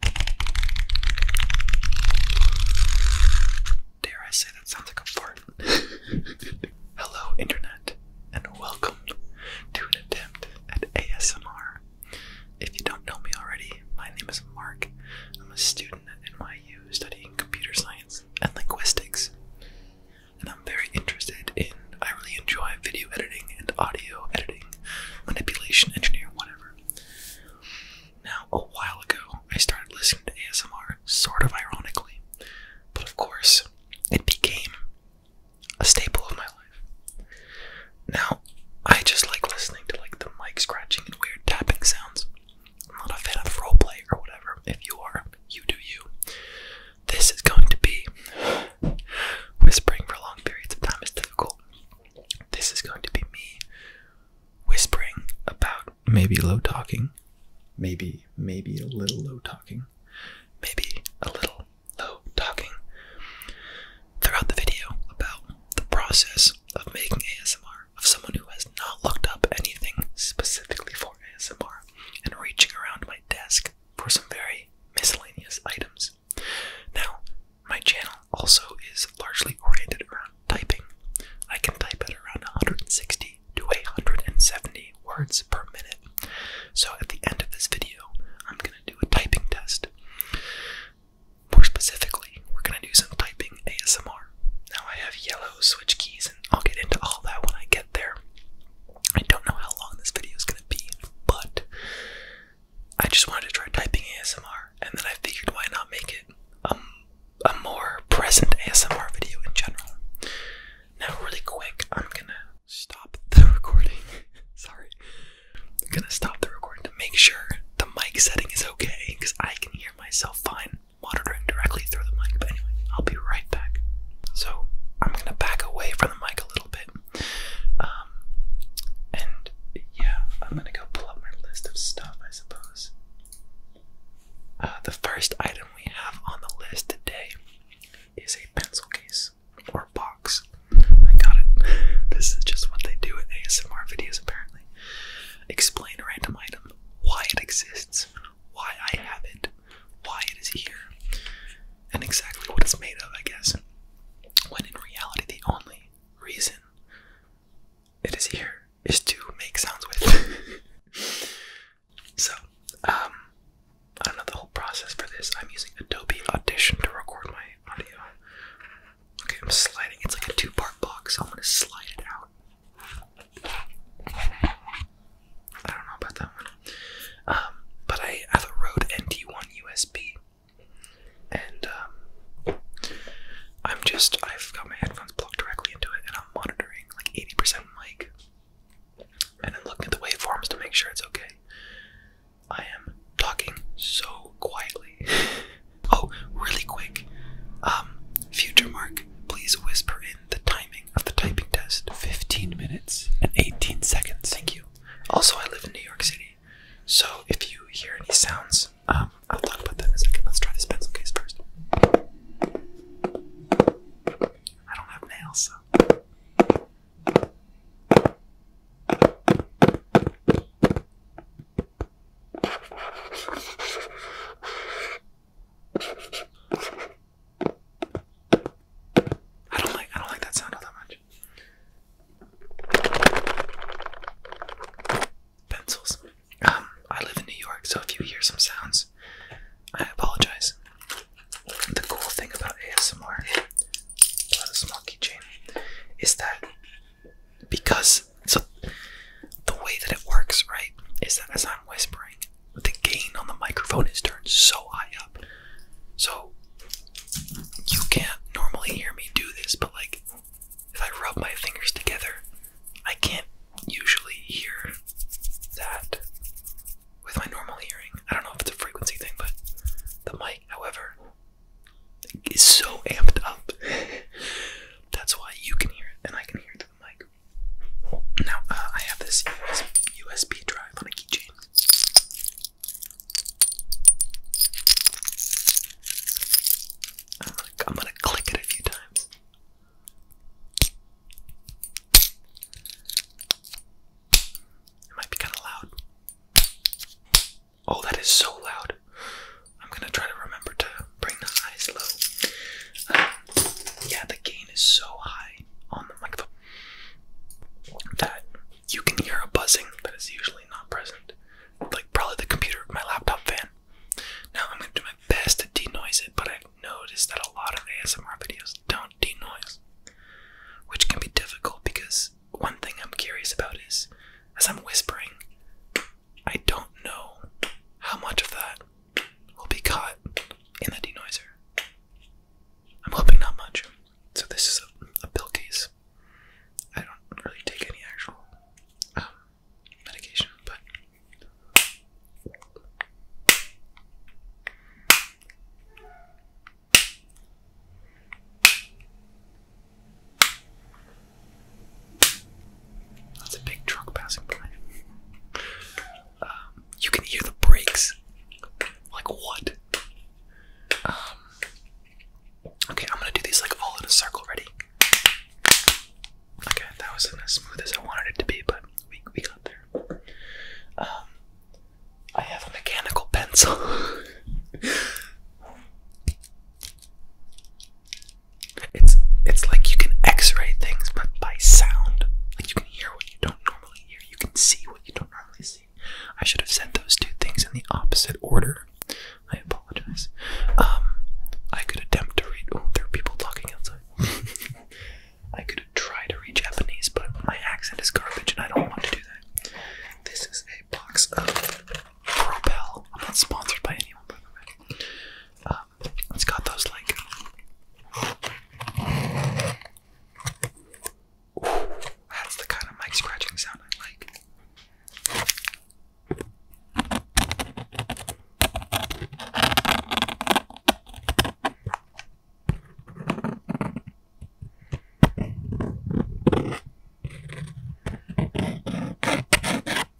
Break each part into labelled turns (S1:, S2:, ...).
S1: Dare I say that sounds like a fart? Hello, Internet, and welcome to an attempt at ASMR. If you don't know me already, my name is Mark. I'm a student at NYU studying computer science and linguistics. And I'm very interested in, I really enjoy video editing and audio editing, manipulation, engineering, whatever. Now, a while ago, I started listening to ASMR, sort of ironically, but of course, it became a staple of my life. Now, I just like listening to like the mic scratching and weird tapping sounds. I'm not a fan of roleplay or whatever. If you are, you do you. This is going to be whispering for long periods of time is difficult. This is going to be me whispering about maybe low talking, maybe, maybe a little low talking, maybe a little low talking throughout the video about the process of making ASMR of someone who has not looked up anything specifically for ASMR and reaching around my desk for some very miscellaneous items now, my channel also is largely oriented around typing. I can type at around 160 to 170 words per minute. So at the end of this video, I'm going to do a typing test. More specifically, we're going to do some typing ASMR. Now I have yellow switch keys and I'll get into all that when I get there. I don't know how long this video is going to be, but I just wanted to try typing ASMR, and then I figured why not make it um, a more present ASMR video in general. Now, really quick, I'm gonna stop the recording. Sorry. I'm gonna stop the recording to make sure the mic setting is okay, because I can hear myself fine monitoring directly through the mic. But anyway, I'll be right back. So, I'm gonna back away from the mic a little bit. Um, and yeah, I'm gonna go pull up my list of stuff, I suppose. Uh, the first item we have on the list today is a pencil case or box. I got it. This is just what they do in ASMR videos, apparently. Explain a random item, why it exists, why I have it, why it is here, and exactly what it's made of, I guess. When in reality, the only reason it is here is to make sounds with. so, um, I don't know the whole process for this. I'm using Adobe Audition to record my audio. Okay, I'm sliding. It's like a two part box. So I'm going to slide it out. I don't know about that one. Um, but I have a Rode NT1 USB and um, I'm just I've got my headphones plugged directly into it, and I'm monitoring like 80% mic, and I'm looking at the waveforms to make sure it's okay. I am talking so quietly. oh, really quick. Um, future Mark, please whisper in the timing of the typing test. 15 minutes and 18 seconds. Thank you. Also, I live in New York City. So if you hear any sounds, um, I'll talk about that in a second. Let's try this pencil case first. I don't have nails, so. I don't like I don't like that sound that much pencils. Um, I live in New York, so if you hear some sounds, I apologize. The cool thing about ASMR, is that because so the way that it works, right, is that as I'm whispering, the gain on the microphone is turned so high up, so you can't normally hear me do this. But like if I rub my fingers together, I can't usually hear that with my normal hearing. I don't know if it's a frequency thing, but the mic, however, is so amped up. That's why you can hear it and I can hear it through the mic. Now, uh, I have this USB drive on a keychain. Uh, I'm gonna click it a few times. It might be kind of loud. Oh, that is so loud. I'm gonna try to remember to bring the eyes low. yeah, the gain is so high on the microphone that you can hear a buzzing that is usually not present like probably the computer my laptop fan. Now I'm gonna do my best to denoise it, but i noticed that a lot of ASMR videos don't denoise, which can be difficult because one thing I'm curious about is, as I'm whispering, I don't know how much of that will be caught in the denoiser. I'm hoping not much. So this is a, a bill case. I don't really take any actual um, medication, that's a big truck passing by. Um, you can hear the brakes. Like what? Um, Okay, I'm gonna do these like all in a circle. Ready? Okay, that wasn't as smooth as I wanted it to be, but we we got there. Um, I have a mechanical pencil. it's it's like you can X-ray things, but by sound. Like you can hear what you don't normally hear. You can see what you don't normally see. I should have said those two things in the opposite order. I apologize. Um, I could attempt to read. Oh, there are people talking outside. I could try to read Japanese, but my accent is garbage, and I don't want to do that. This is a box of Propel. I'm not sponsored by anyone, by the way. Um, it's got those like. that's the kind of mic scratching sound I like.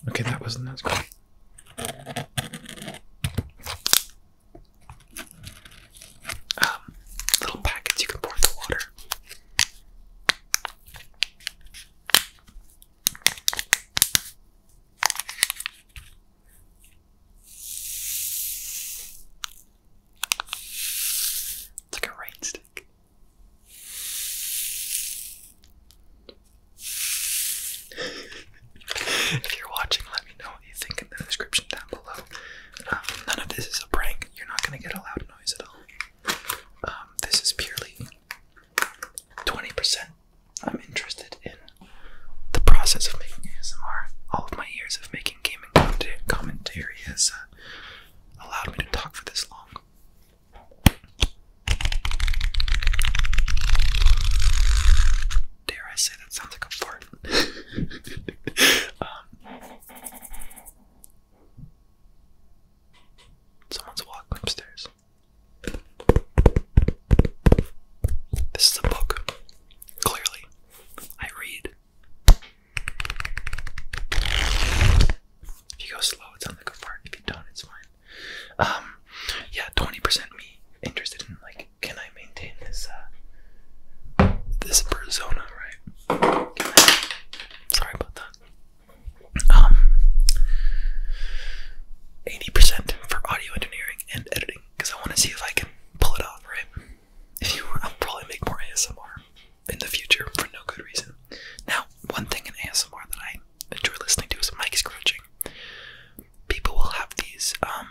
S1: Okay, that wasn't that good. Um, little packets you can pour the water like a rain if you're watching, let me know what you think in the description down below. Um, none of this is a prank. You're not going to get a loud noise at all. Um, this is purely 20%. I'm interested in the process of making ASMR. All of my years of making gaming commentary has uh, allowed me to talk for this long. Dare I say that sounds like a fart? Um, someone's walking upstairs. This is a book. Clearly, I read. If you go slow, it's on the good part. If you don't, it's fine. Um, yeah, twenty percent me interested in like, can I maintain this uh this persona, right? Sorry about that um, 80% for audio engineering and editing because I want to see if I can pull it off, right? If you, I'll probably make more ASMR in the future for no good reason. Now, one thing in ASMR that I enjoy listening to is mic scratching. People will have these um,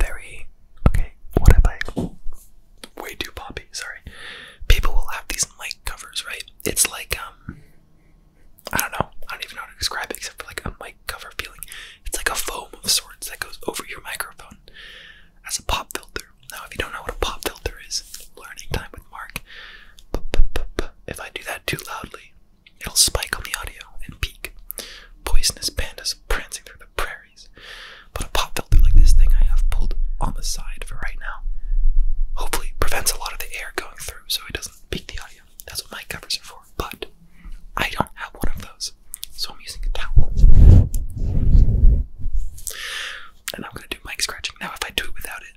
S1: very okay. What if I way too poppy? Sorry. People will have these mic covers, right? It's like um, I don't know. I don't even know how to describe it except for like a mic cover feeling. It's like a foam of sorts that goes over your microphone as a pop filter. Now, if you don't know what a pop filter is, learning time with Mark. If I do that too loudly, it'll spike on the audio and peak. Poisonous pandas prancing through the prairies. But a pop filter like this thing I have pulled on the side for right now now. Hopefully prevents a lot of the air going through so it doesn't peak the audio. That's what my covers are for. But I don't have one of those. So I'm using a towel. And I'm gonna do mic scratching. Now if I do it without it.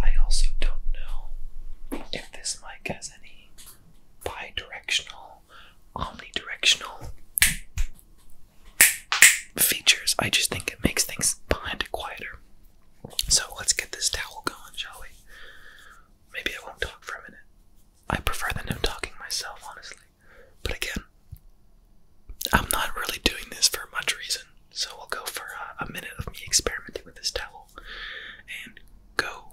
S1: I also don't know if this mic has any bi omnidirectional features. I just think it makes things behind it quieter. So let's get this towel going, shall we? Maybe I won't talk for a minute. I prefer the no talking myself, honestly. But again, I'm not really doing this for much reason, so we'll go for a minute of me experimenting with this towel and go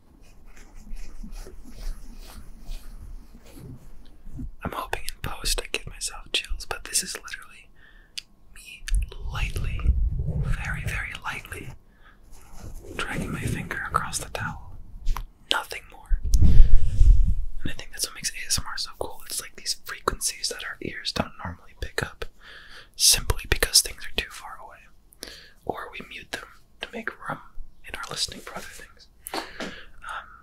S1: I'm hoping in post I give myself chills, but this is literally me lightly, very, very lightly, dragging my finger across the towel. Nothing more. And I think that's what makes ASMR so cool. It's like these frequencies that our ears don't normally pick up simply because things are too far away or we mute them to make room in our listening for other things.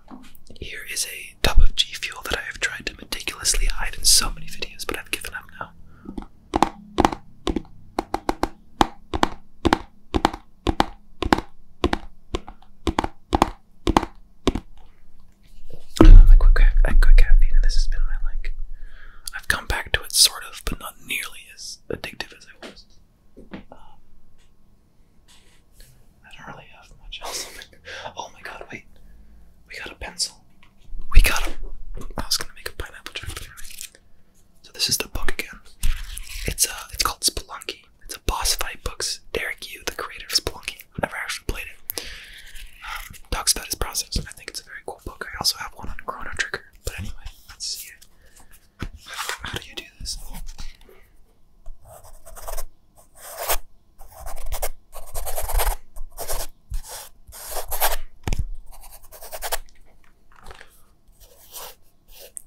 S1: Um, here is a tub of G Fuel that I have tried to meticulously hide in so many videos, but I've given up now. I quit, I quit caffeine, and this has been my like. I've come back to it, sort of, but nearly as addictive as I was. Um, I don't really have much else. Oh, oh my god, wait. We got a pencil. We got a. I was gonna make a pineapple joke, So this is the book again. It's uh, it's called Spelunky. It's a boss fight books. Derek Yu, the creator of Spelunky, who never actually played it, um, talks about his process. I think it's a very cool book. I also have one on Chrono Trigger. But anyway, let's see it. How do you do this?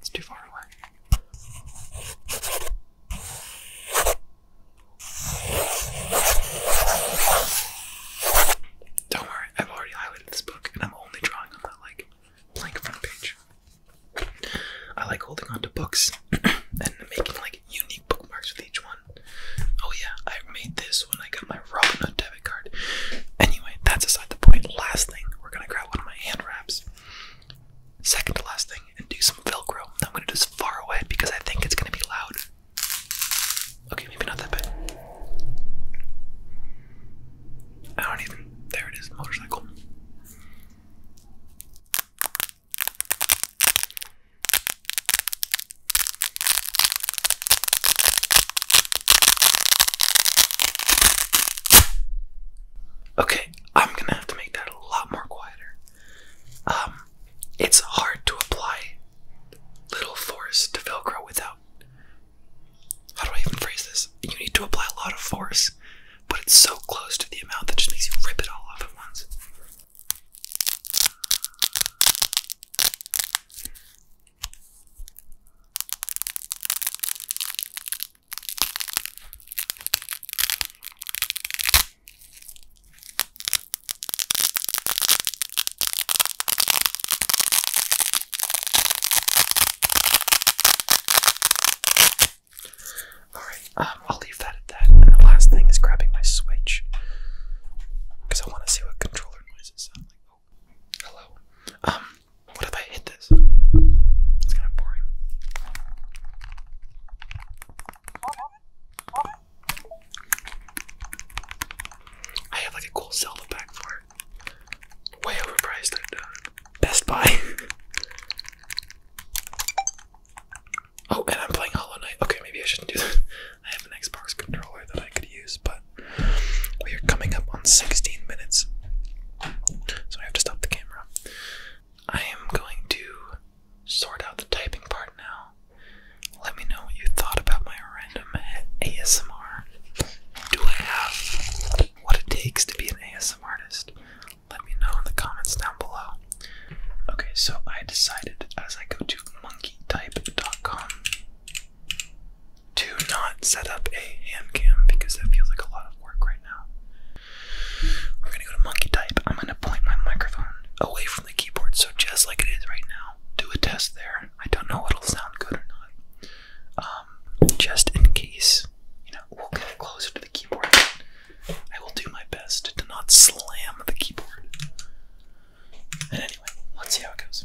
S1: It's too far away. Don't worry, I've already highly this book, and I'm only drawing on that like blank front page. I like holding on to books and making like unique bookmarks with each one. Oh yeah, I made this when I got my Robinhood debit card. Anyway, that's aside the point. Last thing, we're gonna grab one of my hand wraps. Second to last thing, and do some Velcro. I'm gonna do this far away because I think it's gonna be loud. Okay, maybe not that bad. I don't even. There it is, motorcycle. Okay, I'm gonna have to make that a lot more quieter. Um, it's hard to apply little force to Velcro without how do I even phrase this? You need to apply a lot of force, but it's so close to the amount that just makes you rip it all off at once. Alright, um, I'll leave that at that. And the last thing is grabbing my Switch. Because I want to see what controller noises sound like. Oh, hello. Um, what if I hit this? It's kind of boring. I have like a cool Zelda back for it. Way overpriced at uh, Best Buy. oh, and I'm playing Hollow Knight. Okay, maybe I shouldn't do that. I have an Xbox controller that I could use, but we are coming up on 16 minutes. So I have to stop the camera. I am going to sort out the typing part now. Let me know what you thought about my random ASMR. Do I have what it takes to be an ASMR artist? Let me know in the comments down below. Okay, so I decided as I go to monkeytype.com do not set up a hand cam because that feels like a lot of work right now. We're gonna go to monkey type. I'm gonna point my microphone away from the keyboard, so just like it is right now, do a test there. I don't know what'll sound good or not. Um, just in case. You know, we'll get closer to the keyboard. I will do my best to not slam the keyboard. And anyway, let's see how it goes.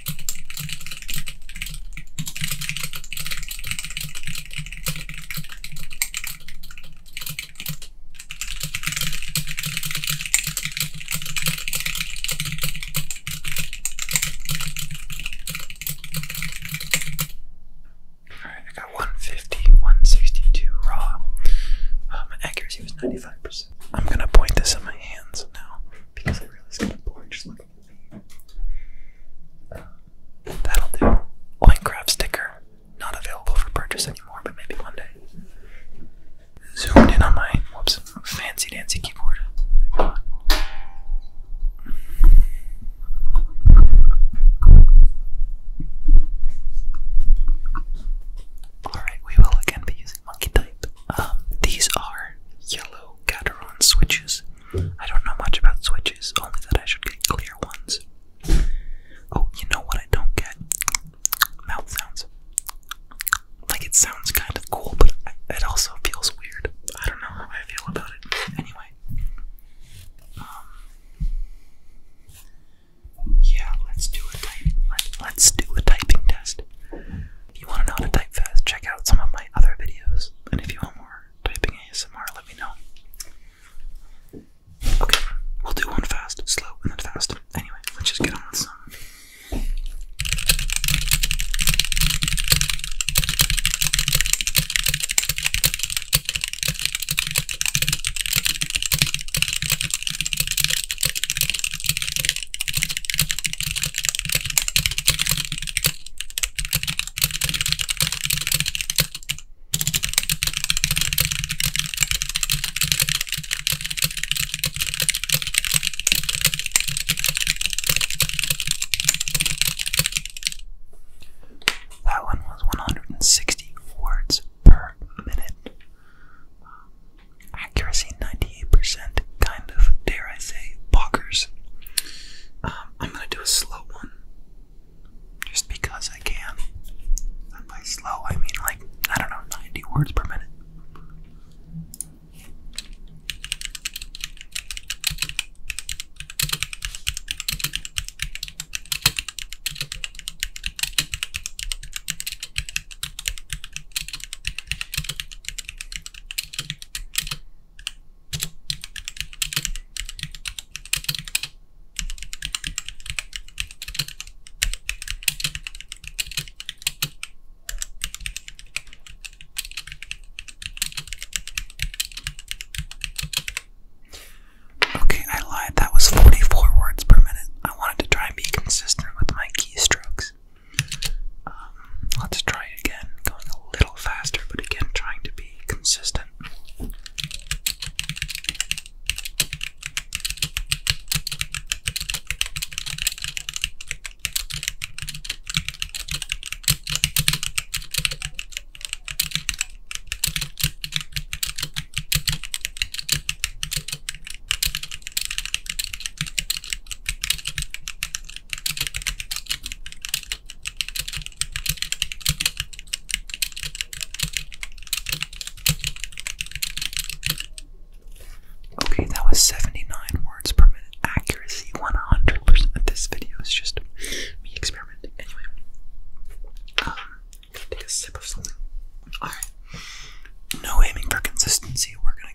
S1: Alright, I got 150, 162 raw. Um, accuracy was 95%. I'm gonna point this in my hands now because I really was getting bored just looking uh, that'll do. Minecraft sticker, not available for purchase anymore, but maybe one day. Zoomed in on my whoops fancy dancy keyboard. Alright, we will again be monkey type. Um, these are yellow also switches. I don't know much about switches, only that I should get clear ones. Oh, you know what I don't get? Mouth sounds. Like it sounds kind of cool, but it also feels weird. I don't know how I feel about it. Anyway. Um, yeah, let's do a type. let's do a typing test. If you want to know how to type fast, check out some of my other videos. And if you want more typing ASMR, let me know. Okay, we'll do one fast, slow, and then fast. Anyway, let's just get on with some. That one was 160 words per minute accuracy 98%, kind of, dare I say, boggers. Um, I'm gonna do a slow one, just because I can. And by slow, I mean like, I don't know, 90 words per minute. Okay, I lied. That was 44 words per minute. I wanted to try and be consistent with my keystrokes. Um, let's try it again, going a little faster, but again, trying to be consistent. Okay, that was 79 words per minute. Accuracy 100%. this video is just me experimenting. Anyway, um, take a sip of something. Alright. No aiming for consistency. We're gonna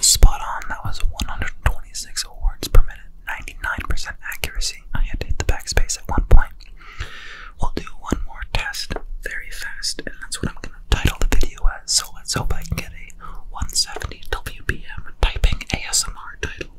S1: Spot on, that was 126 words per minute, 99% accuracy. I had to hit the backspace at one point. We'll do one more test very fast, and that's what I'm going to title the video as. So let's hope I can get a 170 WPM typing ASMR title.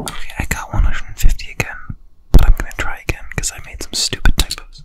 S1: Okay, I got 150 again, but I'm gonna try again because I made some stupid typos.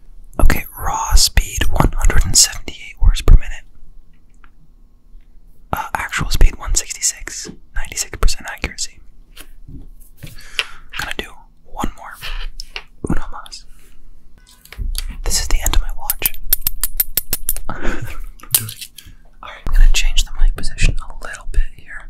S1: Okay, raw speed 178 words per minute. Uh, actual speed 166, 96% accuracy. gonna do one more. Uno mas. This is the end of my watch. Alright, I'm gonna change the mic position a little bit here.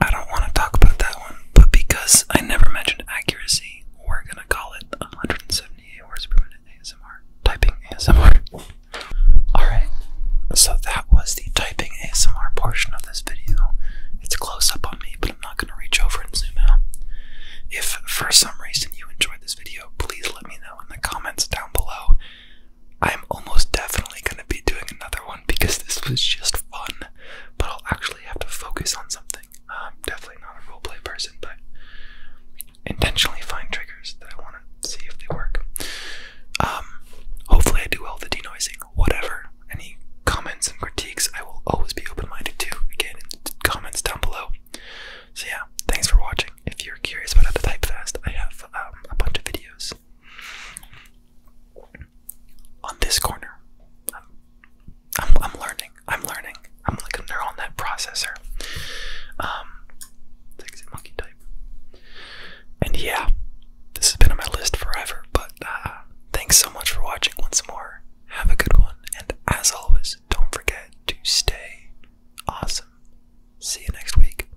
S1: I don't want to talk about that one, but because I never mentioned accuracy, we're gonna call it 178 words per minute ASMR. Typing ASMR. Alright, so that was the typing ASMR portion of this video. It's close up on me, but I'm not gonna reach over and zoom out. If for some reason you enjoyed this video, please let me know in the comments down below. I'm almost definitely going to be doing another one because this was just fun, but I'll actually have to focus on something. I'm definitely not a roleplay person, but intentionally find triggers that I want to see if they work. Um, hopefully, I do all the denoising, whatever. Any comments and critiques, I will always be open minded to. Again, comments down below. So, yeah, thanks for watching. If you're curious about how to type fast, I have um, a bunch of videos on this corner. I'm, learning. I'm learning. I'm like a neural net processor. Um, monkey type. And yeah, this has been on my list forever. But uh, thanks so much for watching once more. Have a good one, and as always, don't forget to stay awesome. See you next week.